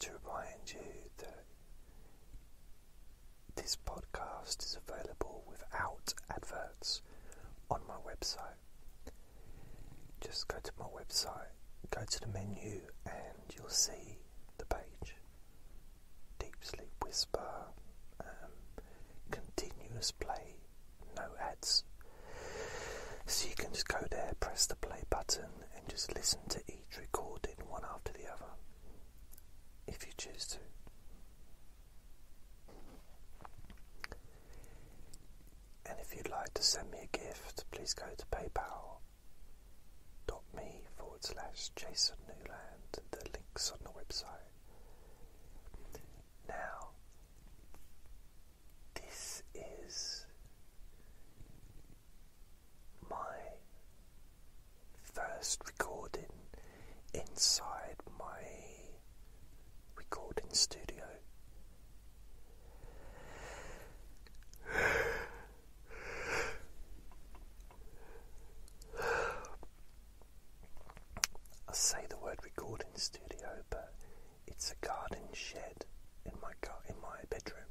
to remind you that this podcast is available without adverts on my website. Just go to my website, go to the menu, and you'll see the page. Deep Sleep Whisper, um, continuous play, no ads. So you can just go there, press the play button, and just listen to each recording one after the other if you choose to. And if you'd like to send me a gift, please go to paypal. Me forward slash Jason Newland. The link's on the website. Now, this is my first recording inside my recording studio. I say the word recording studio, but it's a garden shed in my in my bedroom.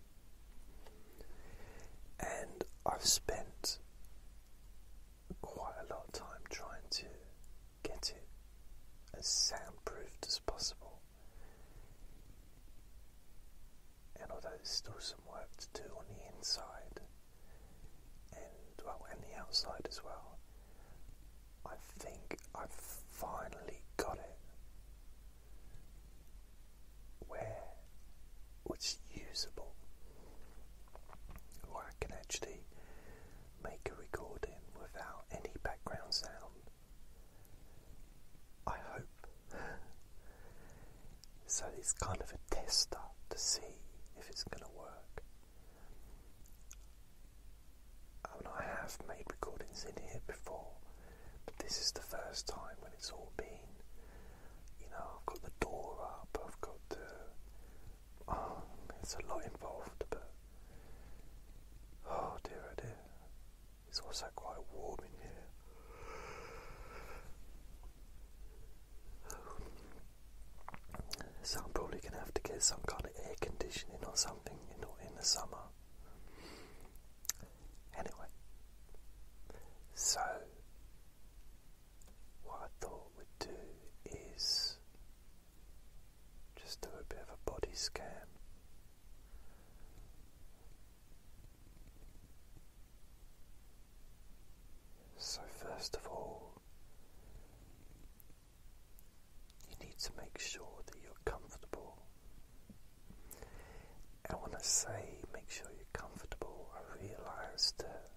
And I've spent quite a lot of time trying to get it as soundproofed as possible. And although there's still some work to do on the inside and well and the outside as well, I think I've finally got it where it's usable, or I can actually make a recording without any background sound. I hope. so it's kind of a test tester to see if it's going to work. I, mean, I have made recordings in here before, but this is the first time when it's all been, you know, I've got the door up, I've got oh, it's a lot involved, but. Oh dear, oh dear. It's also quite warm in here. So I'm probably going to have to get some kind of air conditioning or something in, in the summer. Anyway, so what I thought we'd do is just do a bit of a body scan. So, first of all, you need to make sure that you're comfortable. I want to say, make sure you're comfortable. I realize that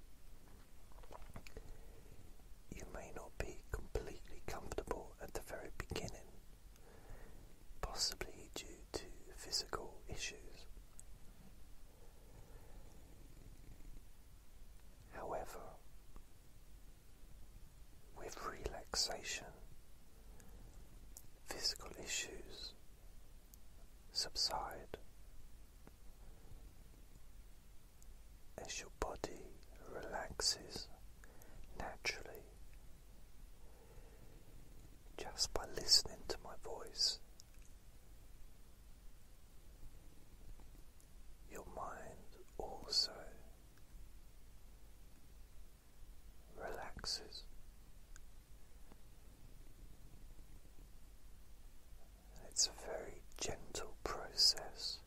you may not be completely comfortable at the very beginning, possibly due to physical issues. However, with relaxation, physical issues subside as your body relaxes naturally just by listening to my voice. Your mind also relaxes. It's a very gentle process.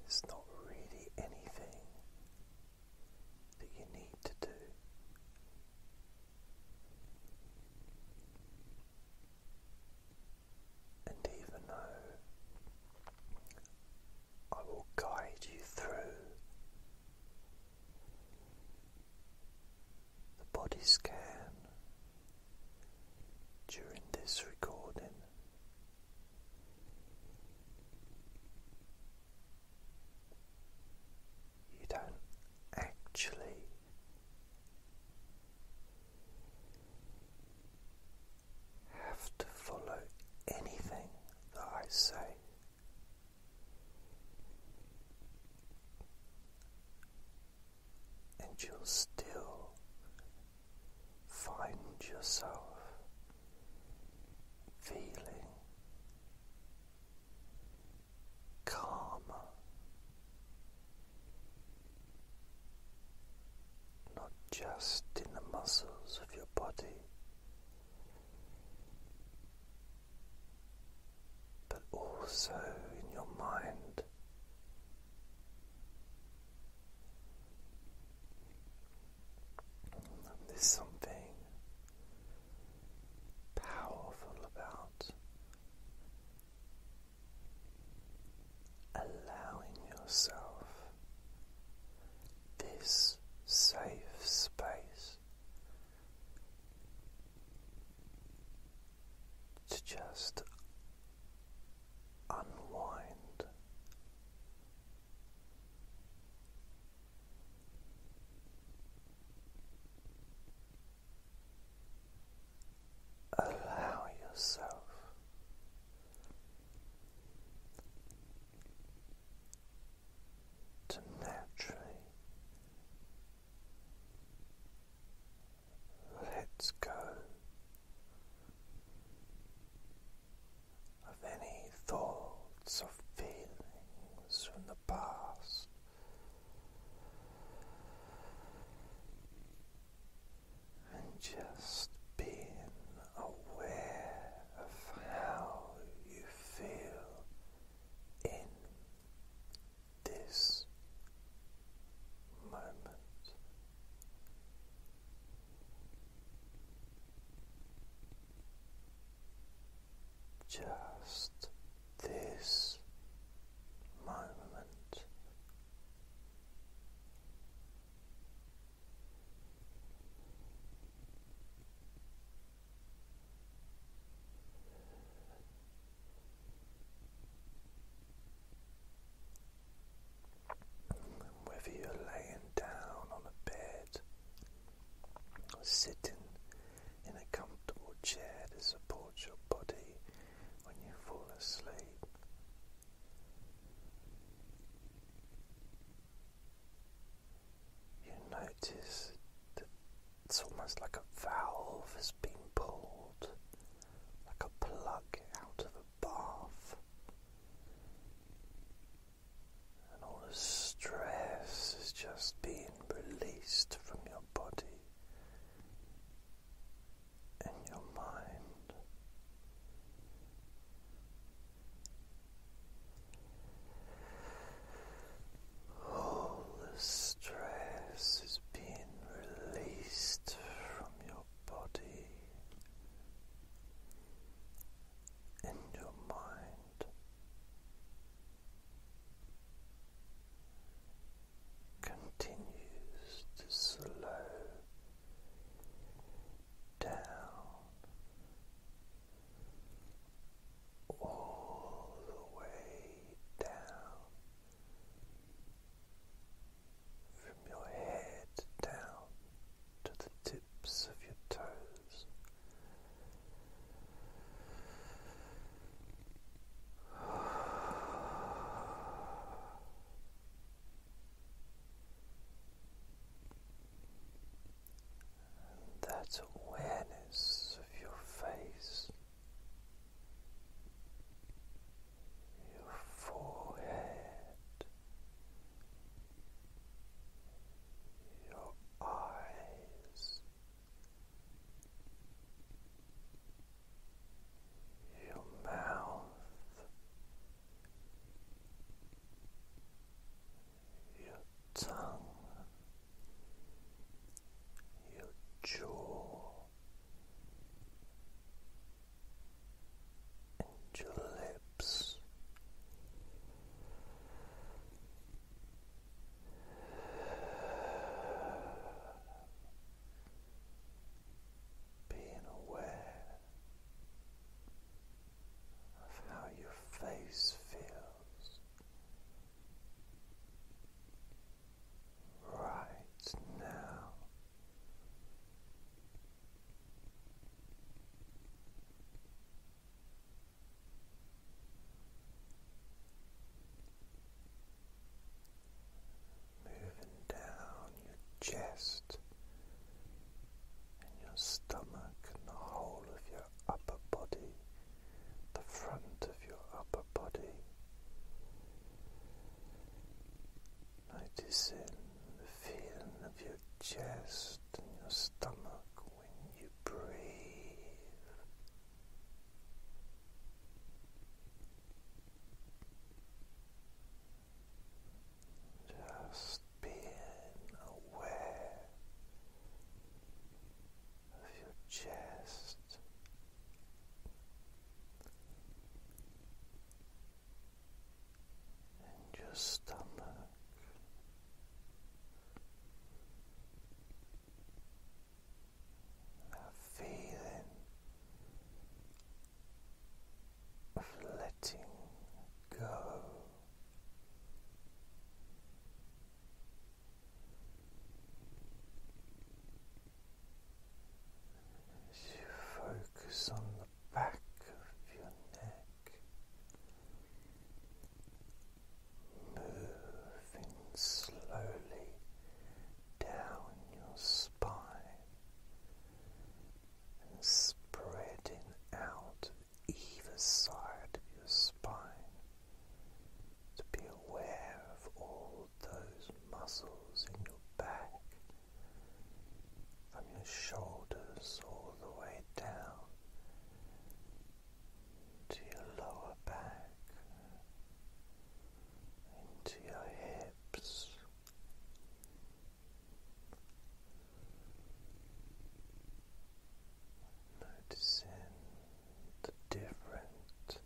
There's not really anything that you need to do. And even though I will guide you through the body scan during this recording. You don't actually have to follow anything that I say. And you'll still find yourself feeling calmer not just in the muscles of your body, but also in your mind. there's something powerful about allowing yourself this safe space to just unwind. Allow yourself to naturally let go of any thoughts or feelings from the past and just being aware of how you feel in this moment. Just this moment, whether you're laying down on a bed or sitting in a comfortable chair to support your body when you fall asleep, you notice that it's almost like a valve has been pulled, like a plug out of a bath, and all the stress is just being released from your body and your mind. All the stress is being released from your body and your mind. Continues to slow down all the way down from your head down to the tips of your toes that awareness of your face, your forehead, your eyes, your mouth your tongue, your jaw, and your lips. Being aware of how your face feels right now. Moving down your chest in your stomach in the whole of your upper body, the front of your upper body. Noticing the feeling of your chest and your stomach when you breathe. Just being aware of your chest. And just stomach, that feeling of letting go. As you focus on the back of your neck, moving slowly down your spine and spreading out either side of your spine to be aware of all those muscles in your back from your shoulders all the way down to your lower back into your hips Noticing the different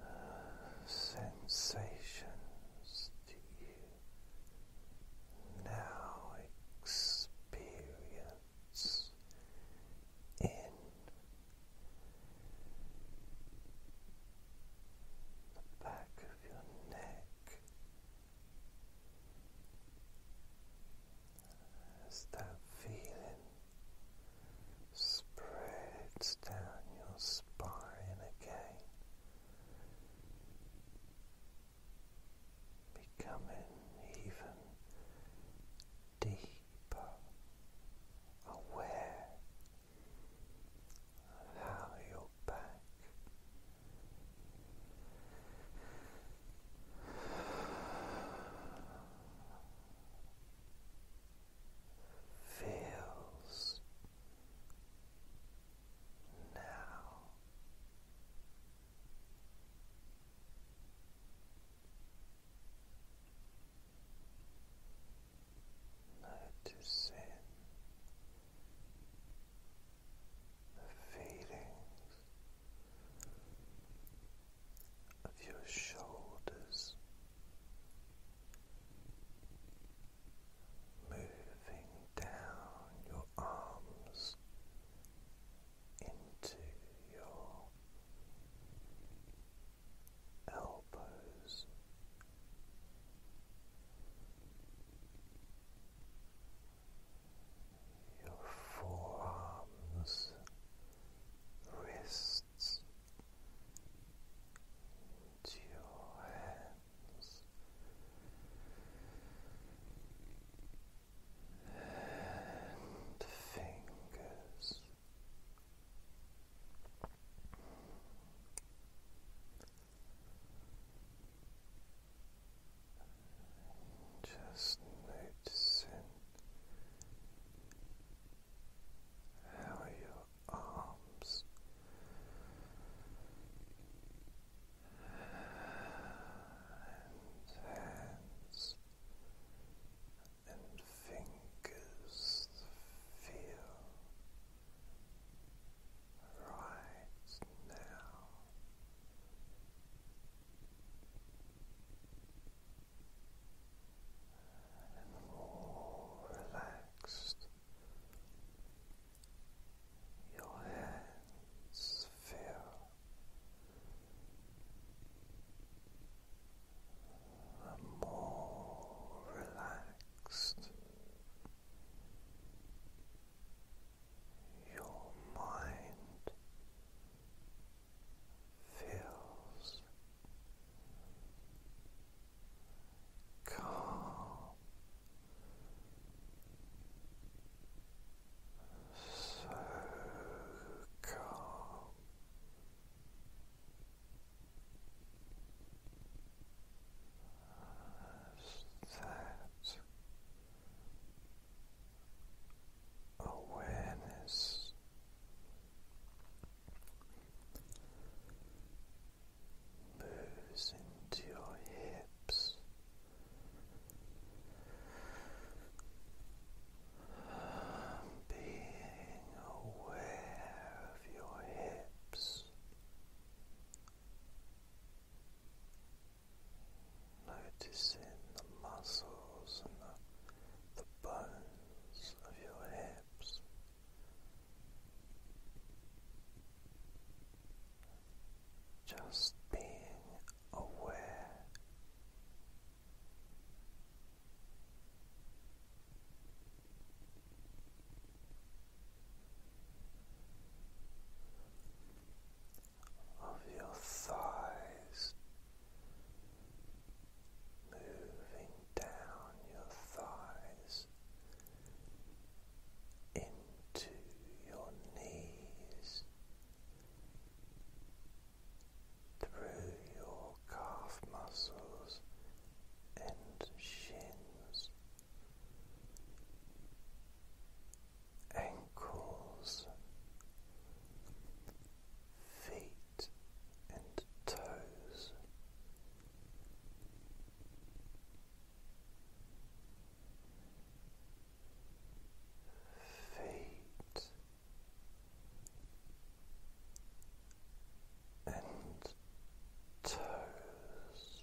uh, sensations you now experience in. The back of your neck, as that feeling spreads down your spine again, becoming even deeper aware of how your back feels now. Noticing the feelings of your shoulders moving down your arms into your elbows your forearms, wrists, your hands. And fingers, just noticing how your arms and hands and fingers feel right now. And more relaxed, your hands feel more relaxed. Your mind feels calm, so calm as that awareness moves into your hips. Being aware of your hips Noticing the muscles and the, the bones of your hips. Just being aware of your thighs moving down your thighs into your knees through your calf muscles and shins ankles, feet and toes. Feet and toes,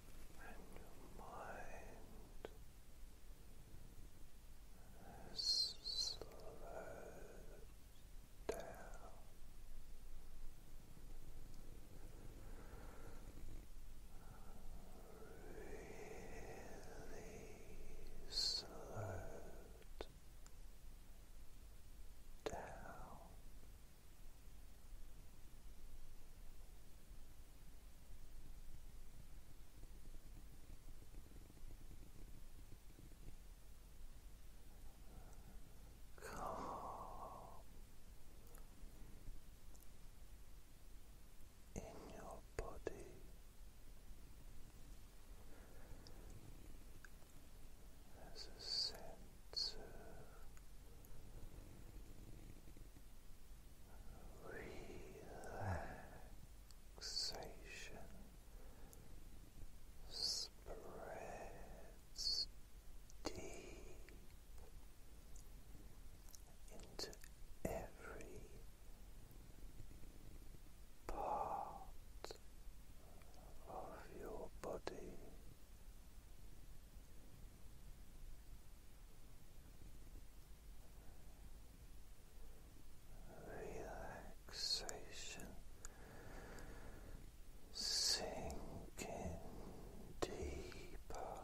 and your mind has down. Really slowed down. Calm in your body as a sense relaxation spreads deep into every part of your body. Relaxation sinking deeper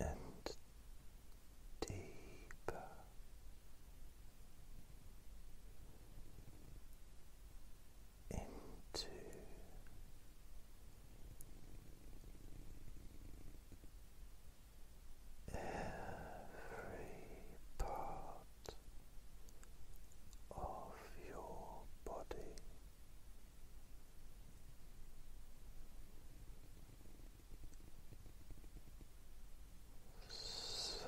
and deeper into every part of your body. So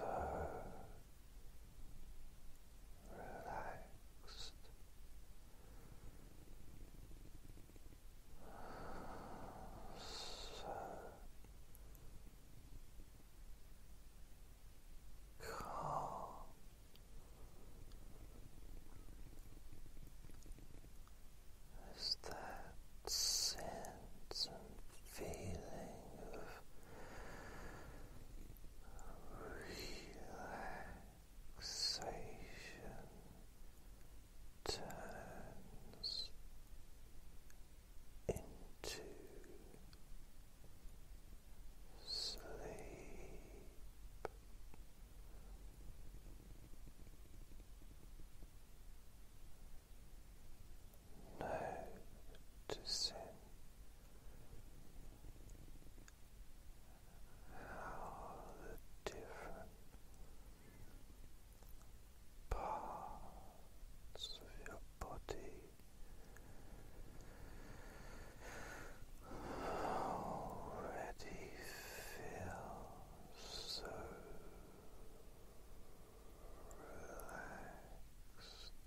relaxed. So calm. Is that sense and feeling of relaxation turns into sleep. Noticing how the different parts of your body already feel so relaxed.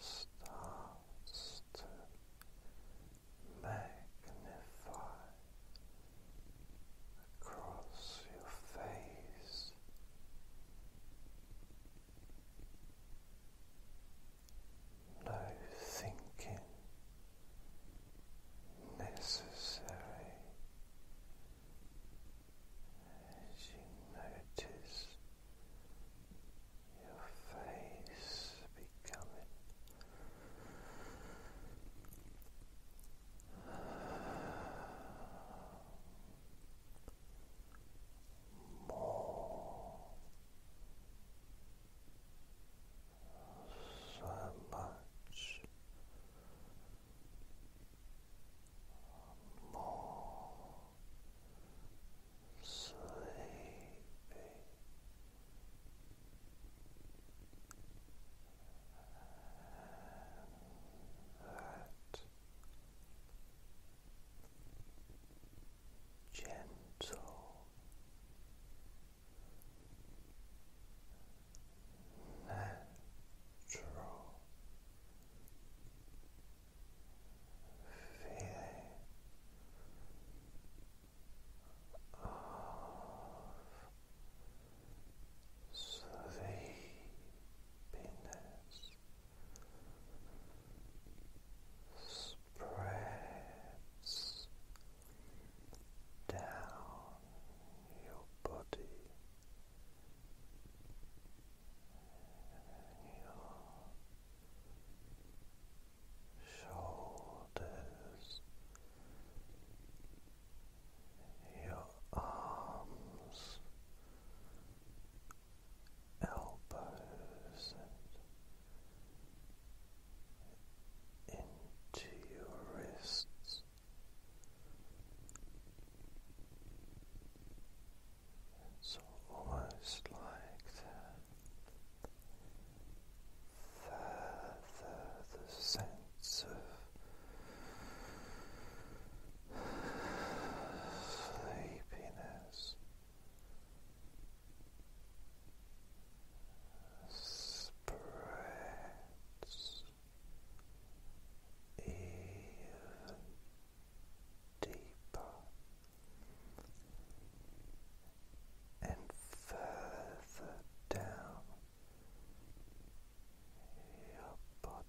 starts to magnify across your face. No thinking necessary as you notice your face becoming more so much more sleepy. And that gentle natural feeling of sleepiness spreads down your body. Your shoulders, your arms, elbows, and into your wrists. It's almost like the, the sense of sleepiness spreads even deeper and further down your body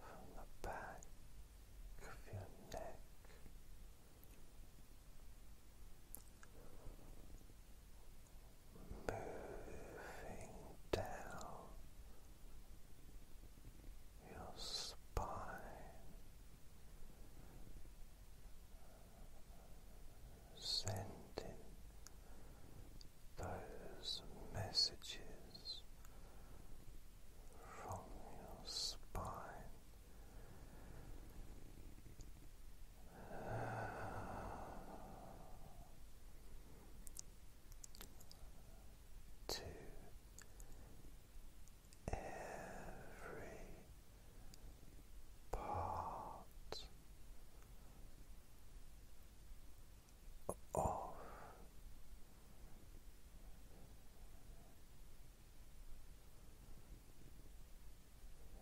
from the back of your neck. Moving down your spine, sending those messages from your spine. To every part off.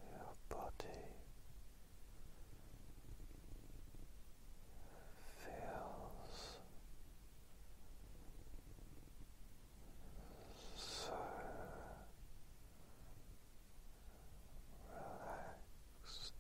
Your body feels so relaxed.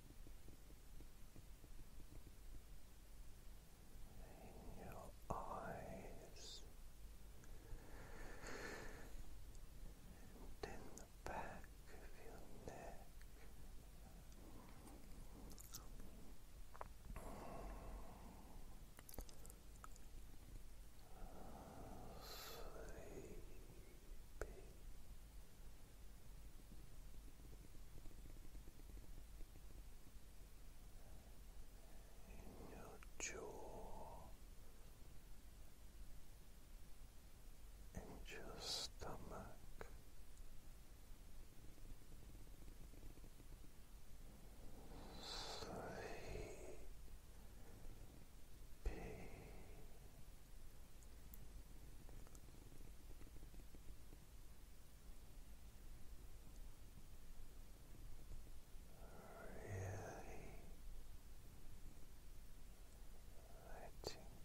in your eyes in the back of your neck. Sleepy, in your jaw, and your stomach, sleepy. Really letting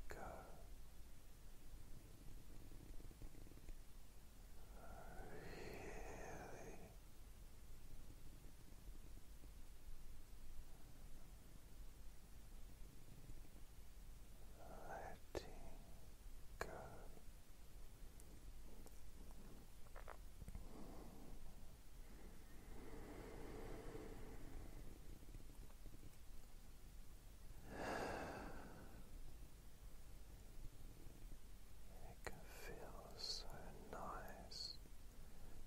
go, really letting go. It can so nice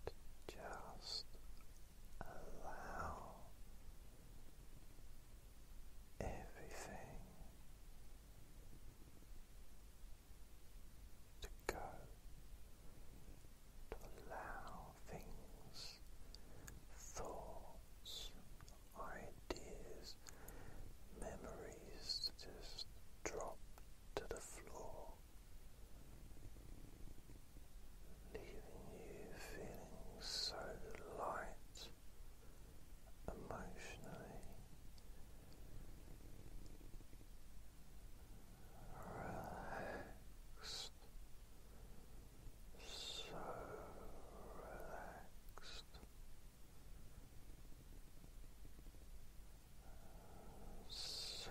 to just allow everything to go, to allow things, thoughts, ideas, memories to just drop to the floor. Leaving you feeling so light emotionally relaxed, so relaxed. So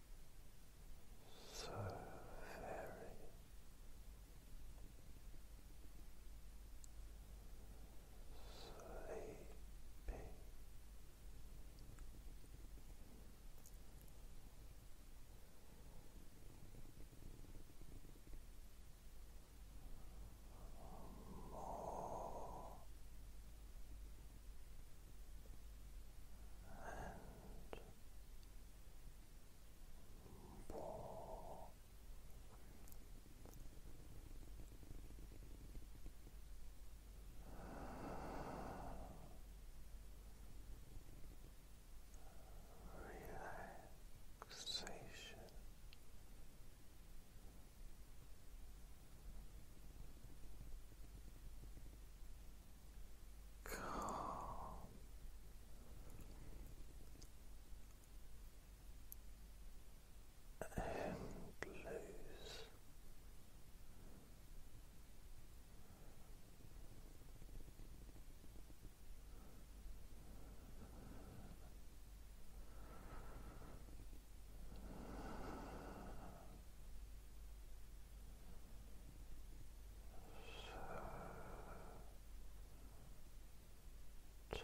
so very sleepy. More and more relaxation. Relaxation calm and so tired.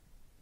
Sleeping.